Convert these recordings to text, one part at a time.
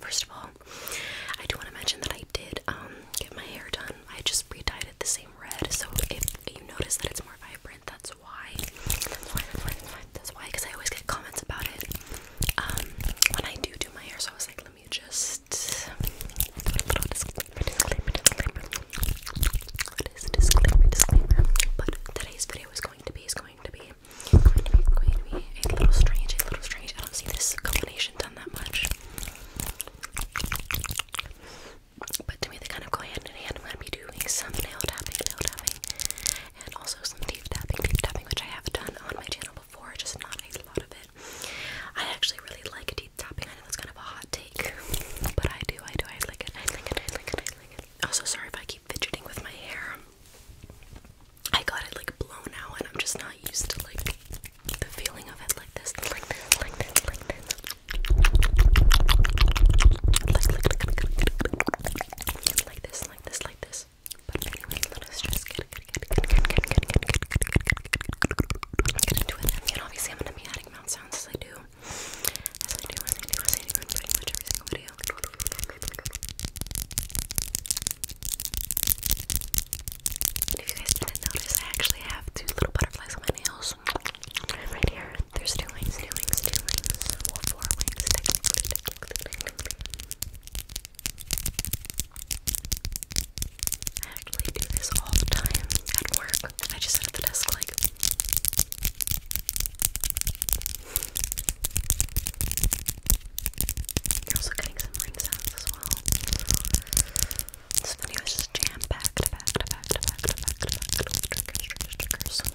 First of all, I do want to mention that I did um, get my hair done. I just re-dyed it the same red, so if you notice that it's more vibrant, that's why. That's why. Because I always get comments about it um, when I do do my hair. So I was like, let me just But today's video is going to be is going to be going to be a little strange, a little strange. I don't see this combination done that much. But to me, they kind of go hand in hand. I'm going to be doing some nail tapping, nail tapping, and also some deep tapping, deep tapping, which I have done on my channel before, just not a lot of it. I actually really like deep tapping. I know that's kind of a hot take, but I do, I do, I like it, I like it, I like it, I like it. Also, sorry if I keep keep fidgeting with my hair. I got it like blown out and I'm just not used to like the feeling of it like this, like this, like this, like this. Like, like, like, like, like, like this, like this, like this. But anyway, let us just get, get, get, get, get, get, get, get, get, get, get into it. And obviously I'm gonna be adding mouth sounds as I do. As I do, as I do, as I do in pretty much every single video if you guys didn't notice, I actually have two little butterflies on my nails. Right here. There's two wings, two wings, two wings. four wings. Technically, technically, I actually do this all the time at work. I just sit at the desk like. You're also getting some rings out as well. This video is just jam packed, packed, packed, packed, packed, packed, packed with triggers, triggers, triggers. Thank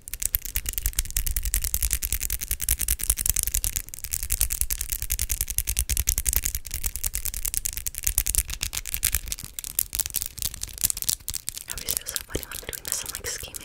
I always feel so funny am doing this, I'm like scheming.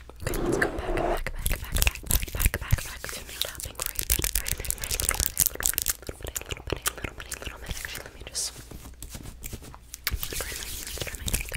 Okay, let's go back, back, back, back, back, back, back, back, back to me tapping right bit, right right bit, a little bit, a little bit, a little bit, a little bit, a little bit. Actually, let me just try my ears, try my ears. There we go. Okay,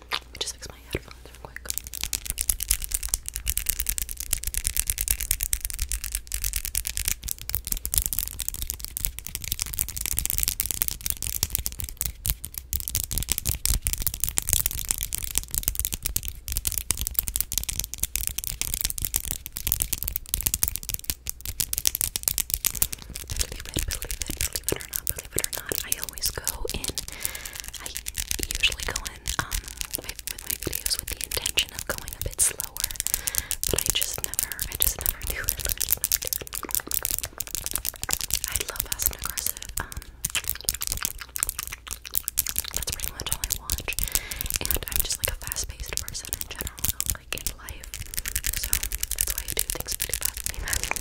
Just fix my headphones real quick. Believe it, or not, believe it or not, I always go in, I usually go in um, with my videos with the intention of going a bit slower, but I just never, I just never do it. I, love fast and aggressive. Um, that's pretty much all I watch, and I'm just like a fast-paced person in general, like in life. So that's why I do things pretty fast.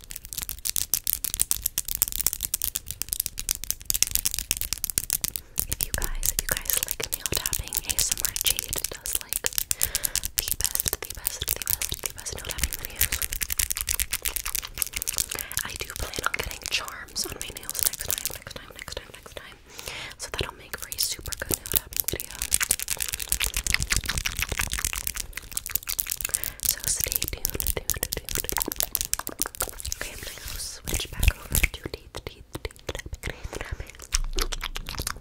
if you guys, if you guys like nail tapping, ASMR Jade does like the best, the best, the best, the best nail tapping videos. I do plan on getting charms on my nails next time, next time, next time, next time. So that'll make for a super good nail tapping video. So stay tuned. tuned, tuned. Okay, I'm gonna go switch back over to teeth, teeth, teeth, tapping, teeth, tapping. Okay,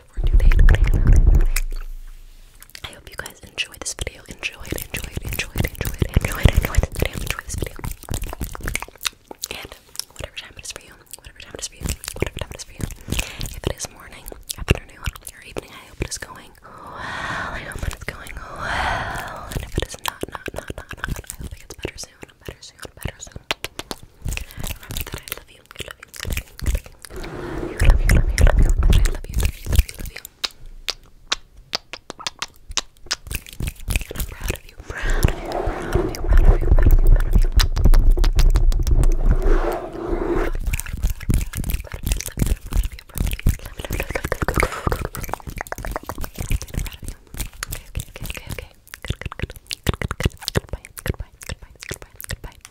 it for today. I hope you guys enjoyed this video. Enjoyed, enjoyed, enjoyed, enjoyed, enjoyed, enjoyed this video. Enjoy this video. And whatever time it is for you, whatever time it is for you, whatever time it is for you. If it is morning, afternoon, or evening, I hope it is going well. I hope it is going well. And if it is not, not, not, not, not, I hope it gets better soon. Better soon. Better soon. Remember that I love you. you, I love you, I love you, I love you, I love you, I love you, I love you, I love you, I love you, I love you. I'm proud of you, proud of you, proud of you, proud of you, proud of you, proud of you. Okay, okay, okay, okay. Good, good, good. Good, good, good. Goodbye, goodbye, goodbye, goodbye, goodbye.